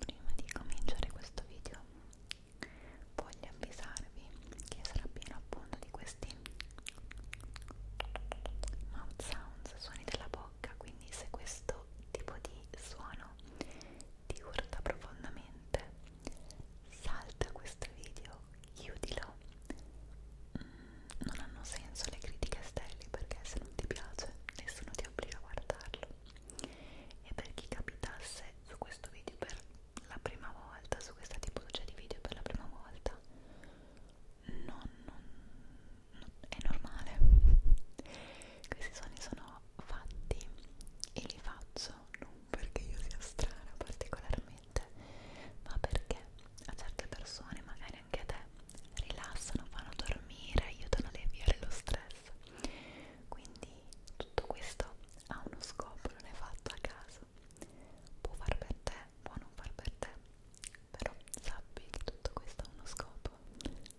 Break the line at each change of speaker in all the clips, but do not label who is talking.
Prima di cominciare questo video voglio avvisarvi che sarà pieno appunto di questi mouth sounds, suoni della bocca, quindi se questo tipo di suono ti urta profondamente salta questo video, chiudilo.
Mm, non hanno senso le critiche sterili perché se non ti piace nessuno ti obbliga a guardarlo e per chi capitasse su questo video per la prima volta su questa tipologia di video per la prima volta non,
non, non è normale questi suoni sono fatti e li faccio non perché io sia strana particolarmente ma perché a certe persone magari anche a te rilassano, fanno dormire aiutano a alleviare lo stress stesso quindi tutto questo ha uno scopo, non è fatto a caso può far per te, può non far per te però sappi che tutto questo ha uno scopo Bene.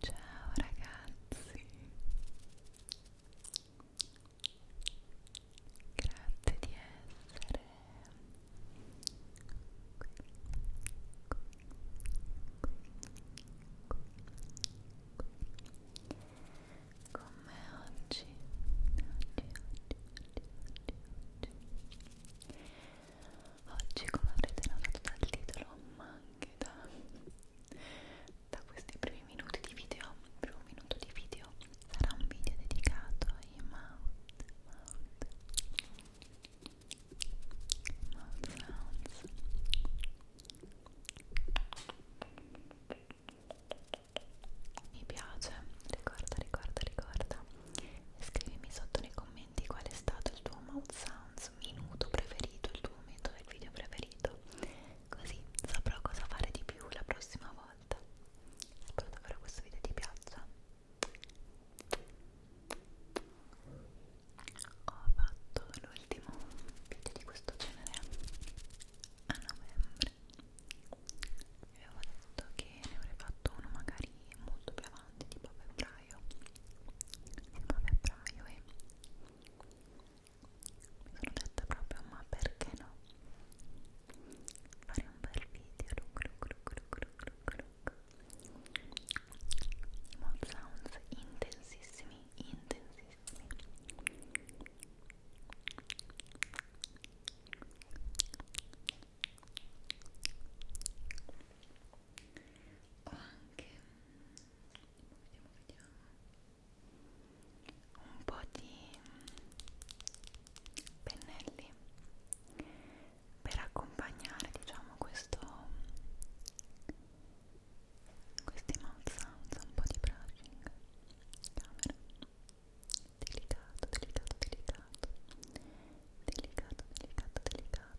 Ciao ragazzi, grazie di essere qui, qui, qui, qui, qui. con me oggi, oggi, oggi, oggi, oggi. Oggi, come avrete notato dal titolo, ma anche anche da, da questi primi minuti di video il primo minuto di video sarà un video dedicato ai mouth mouth mouth sounds mi piace ricorda ricorda ricorda e scrivimi sotto nei commenti commenti qual è stato il tuo mouth sounds minuto preferito, il tuo momento del video preferito così saprò cosa fare di più la prossima volta spero davvero questo video ti piaccia ho fatto l'ultimo video di questo genere a novembre vi avevo detto che ne avrei fatto uno magari molto più avanti tipo a febbraio il 9 febbraio e mi sono detta proprio ma perché no fare un bel video look look look look look look look sounds intensissimi intensissimi ho anche vediamo vediamo un po' di pennelli per accompagnare diciamo questo questi mouth sounds un po' di brushing camera delicato delicato delicato delicato delicato delicato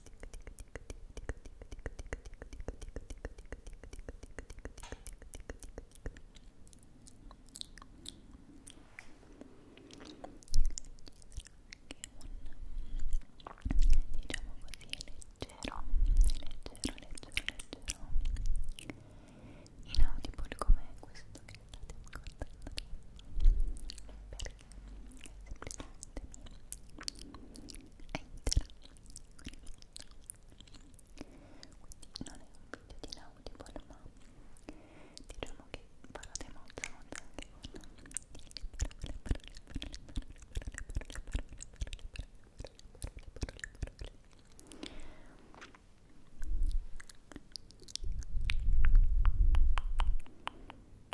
Diciamo leggero, inaudibile come questo che state ascoltando perché video di Audible ma diciamo che parlate molto molto anche con le parole, parole, parole, parole, parole, parole, parole, parole, parole, parole Grazie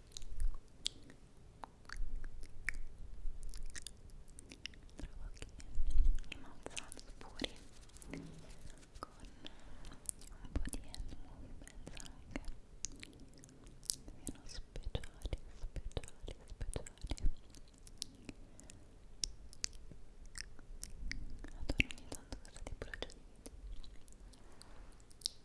trovo che i malzani puri con un po' di hand movements anche siano speciali, speciali, speciali adoro ogni tanto questo tipo di progetti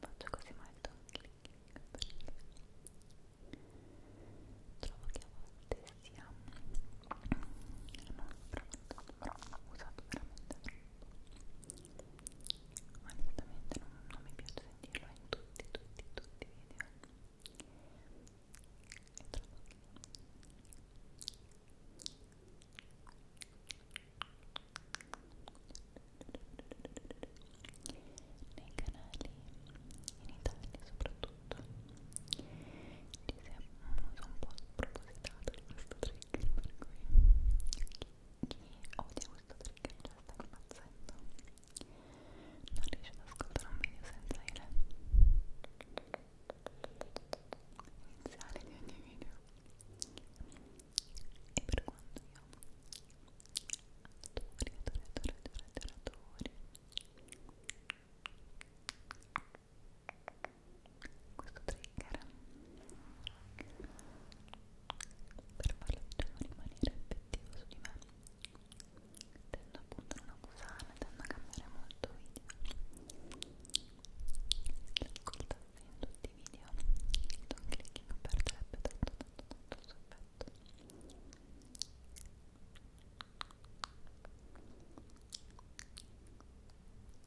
Faccio così molto clic clic perché trovo che a volte sia non ho usato veramente onestamente non, non mi piace sentirlo in tutti, tutti, tutti i video e trovo che nei canali in Italia soprattutto ci si è un uso un po' spropositato di questo trick per cui chi odia questo trick cioè, già sta impazzendo non riesce ad ascoltare un video senza il iniziale di ogni video e per quanto io adori, adori, adori, adori, adori, adori questo trigger per farlo diciamo, rimanere effettivo su di me tendo appunto a non abusarne, tendo a cambiare molto video l'ascolto in tutti i video don clicking perderebbe tanto tanto tanto il suo effetto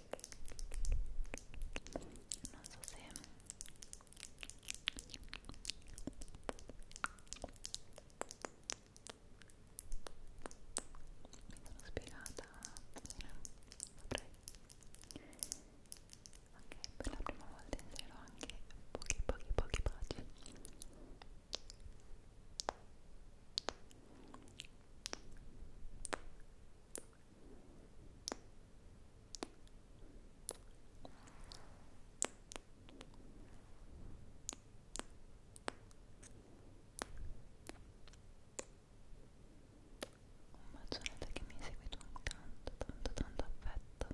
non so se mi sono spiegata bene, saprei ok, per la prima volta inserirò anche pochi pochi pochi pagine un bacione a te che mi hai seguito un tanto, tanto, tanto affetto.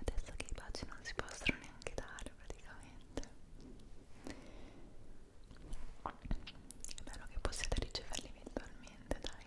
Adesso che i baci non si possono neanche dare praticamente è bello che possiate riceverli eventualmente, dai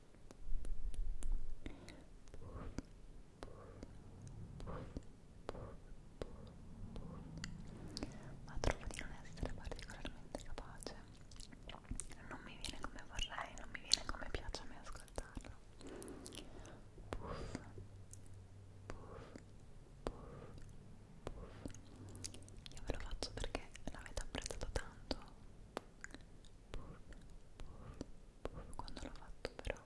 ma trovo di non essere particolarmente capace non mi viene come vorrei non mi viene come piace a me ascoltarlo puff puff puff puff io ve lo faccio perché l'avete apprezzato tanto puff, quando l'ho fatto però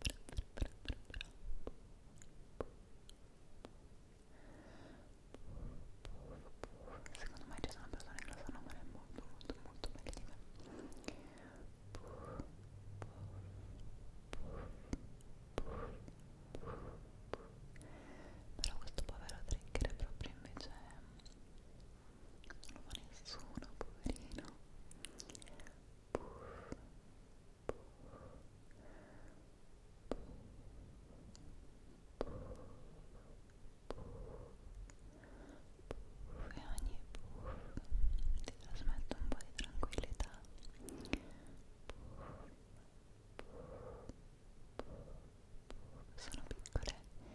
secondo me ci sono persone che lo sanno fare molto molto molto meglio di me però questo povero trigger proprio invece non fa nessuno, poverino puff, puff, puff, puff, puff, e ogni puff ti trasmette un po' di tranquillità puff, puff, puff, sono piccole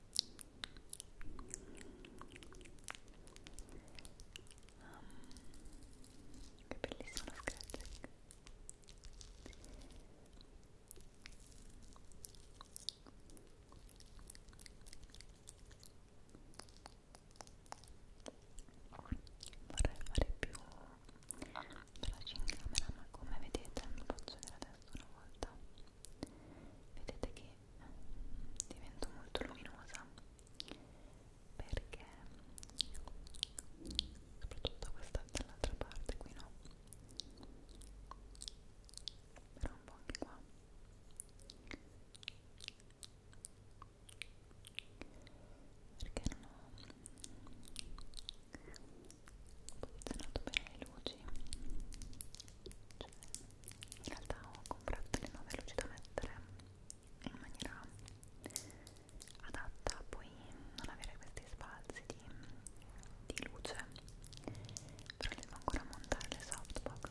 Um, che bellissimo scratching vorrei fare più veloce in camera ma come vedete non posso vedere adesso una volta vedete che mm, divento molto luminosa perché soprattutto questa dall'altra parte qui no però un po' anche qua perché non ho posizionato bene le luci cioè, in realtà ho comprato le nuove luci da mettere in maniera adatta a poi non avere questi spazi di, di luce però devo ancora montare le softbox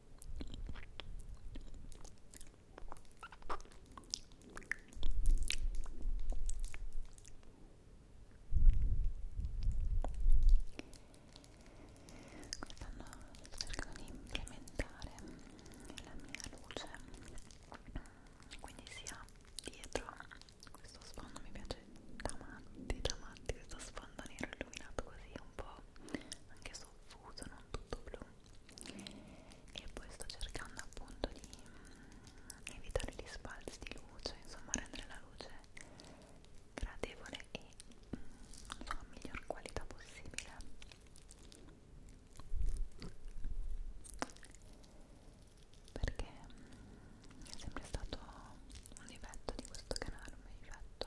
stanno cercando di implementare la mia luce quindi sia dietro questo sfondo mi piace da matti da matti questo sfondo nero illuminato così un po' anche soffuso, non tutto blu e poi sto cercando
appunto di mh, mm, evitare gli sbalzi di luce, insomma rendere la luce gradevole e mh, con la miglior qualità possibile perché mh, mm, è sempre stato un difetto di questo canale, un difetto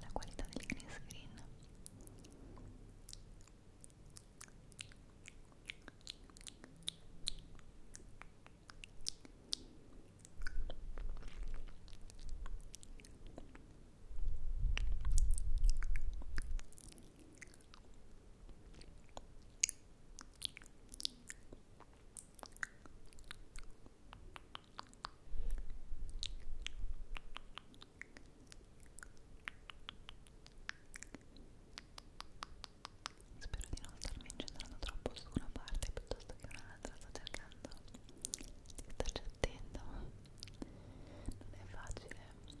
la qualità del green screen Spero di non starmi incentrando troppo su una parte piuttosto che un'altra, sto cercando di starci attento, non è facile. Ecco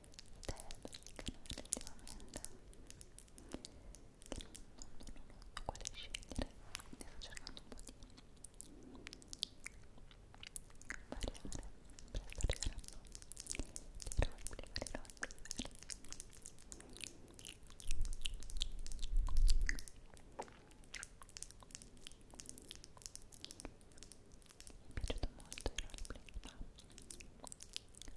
so quale scegliere ne sto cercando un po' di variare presto arriveranno dei rompi, vari rompi Spero mi è piaciuto molto il roleplay ma a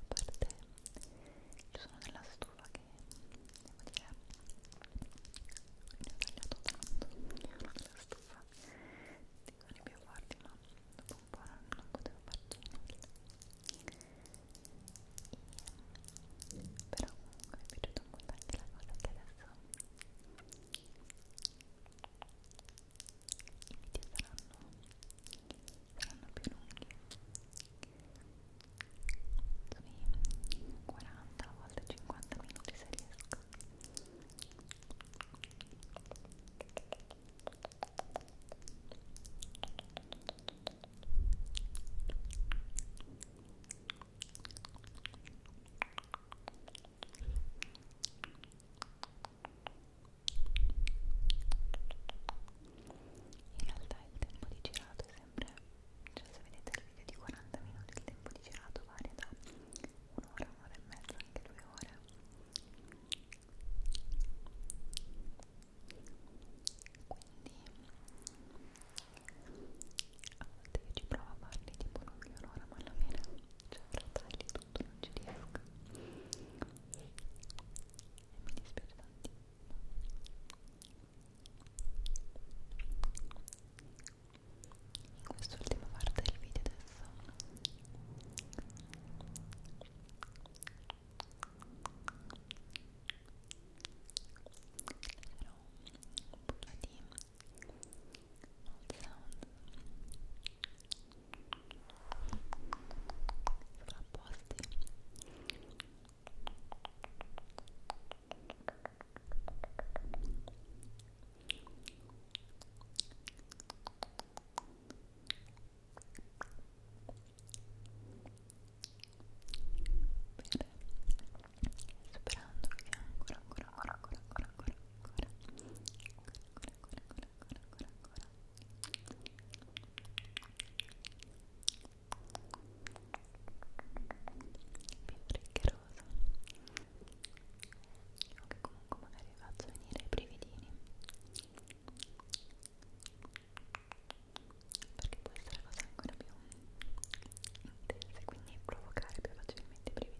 parte il suono della stufa che devo dire ne ho tagliato tanto la stufa dicono i più forti ma dopo un po' non, non potevo farci nulla e, però comunque mi è piaciuto molto anche la cosa che adesso video saranno, saranno più lunghi sui 40 a volte 50 minuti se riesco Spero in realtà il tempo di girato è sempre cioè se vedete il video di 40 minuti il tempo di girato varia da un'ora, un'ora e mezza, anche due ore quindi a volte io ci provo a farli tipo non più un'ora ma alla fine cioè fratelli tutto non ci riesco e mi dispiace tantissimo in quest'ultima parte del video adesso Lascerò un po' di mouth sound sovrapposti Bene, sperando che ancora, ancora, ancora, ancora, ancora, ancora, ancora, ancora, ancora, ancora, ancora, ancora, ancora. Più triggeroso. O che comunque magari faccio venire i brividini. Perché può essere una cosa ancora più intensa, quindi provocare più facilmente i brividini.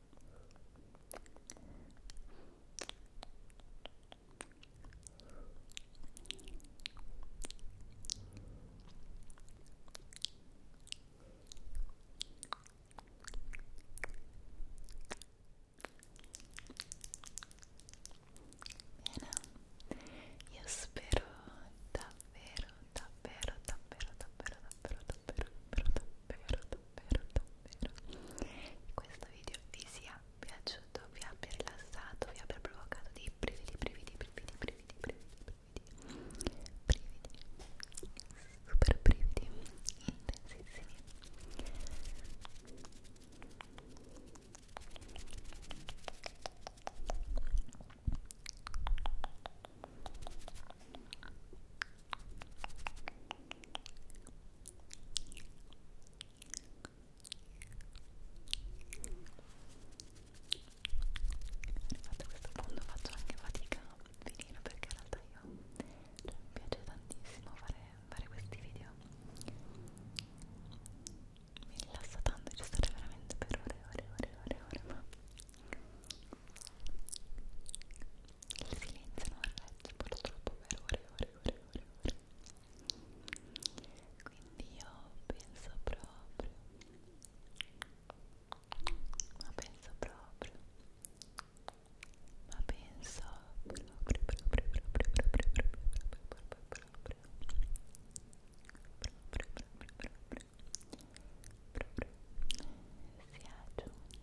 Bene, io spero davvero, davvero, davvero, davvero, davvero davvero, davvero, davvero, davvero, davvero che questo video vi sia piaciuto, vi abbia rilassato, vi abbia provocato dei brividi, brividi, brividi, brividi, brividi, brividi, brividi, super brividi, intensissimi e a questo punto faccio anche fatica a finire perché in realtà io cioè, mi piace tantissimo fare, fare questi video mi rilassa tanto di stare veramente per ore e ore e ore e ore, ore ma il silenzio non regge purtroppo per ore e ore e ore, ore, ore. Quindi io penso proprio, ma penso proprio, ma penso proprio, proprio, proprio, proprio, proprio, proprio, proprio, proprio, proprio, proprio, proprio, proprio, sia giunto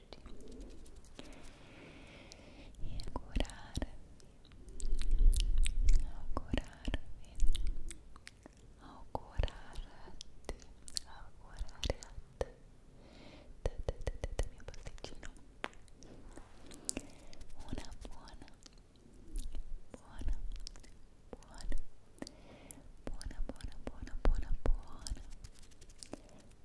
e augurarvi, augurarvi, augurarti, augurare a te, te, te, te, te, te mio pasticcino, una buona, buona, buona, buona, buona, buona, buona, buona, buona,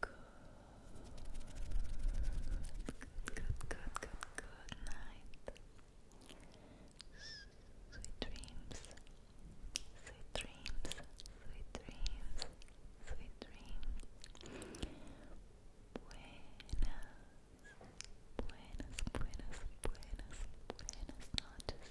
good, good, good, good, good night. Sweet dreams, sweet dreams, sweet dreams, sweet dreams. Buenas, buenas, buenas, buenas, buenas noches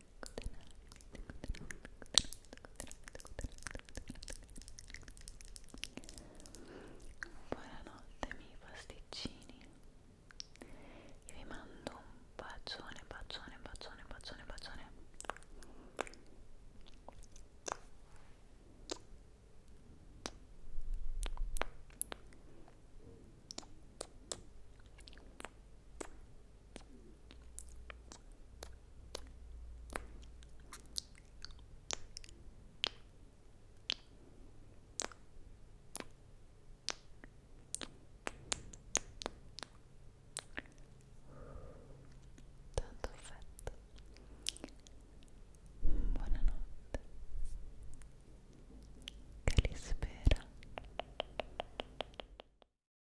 Buonanotte miei pasticcini e vi mando un bacione, bacione, bacione, bacione, bacione Buonanotte Tanto affetto. Buonanotte. Che li spera.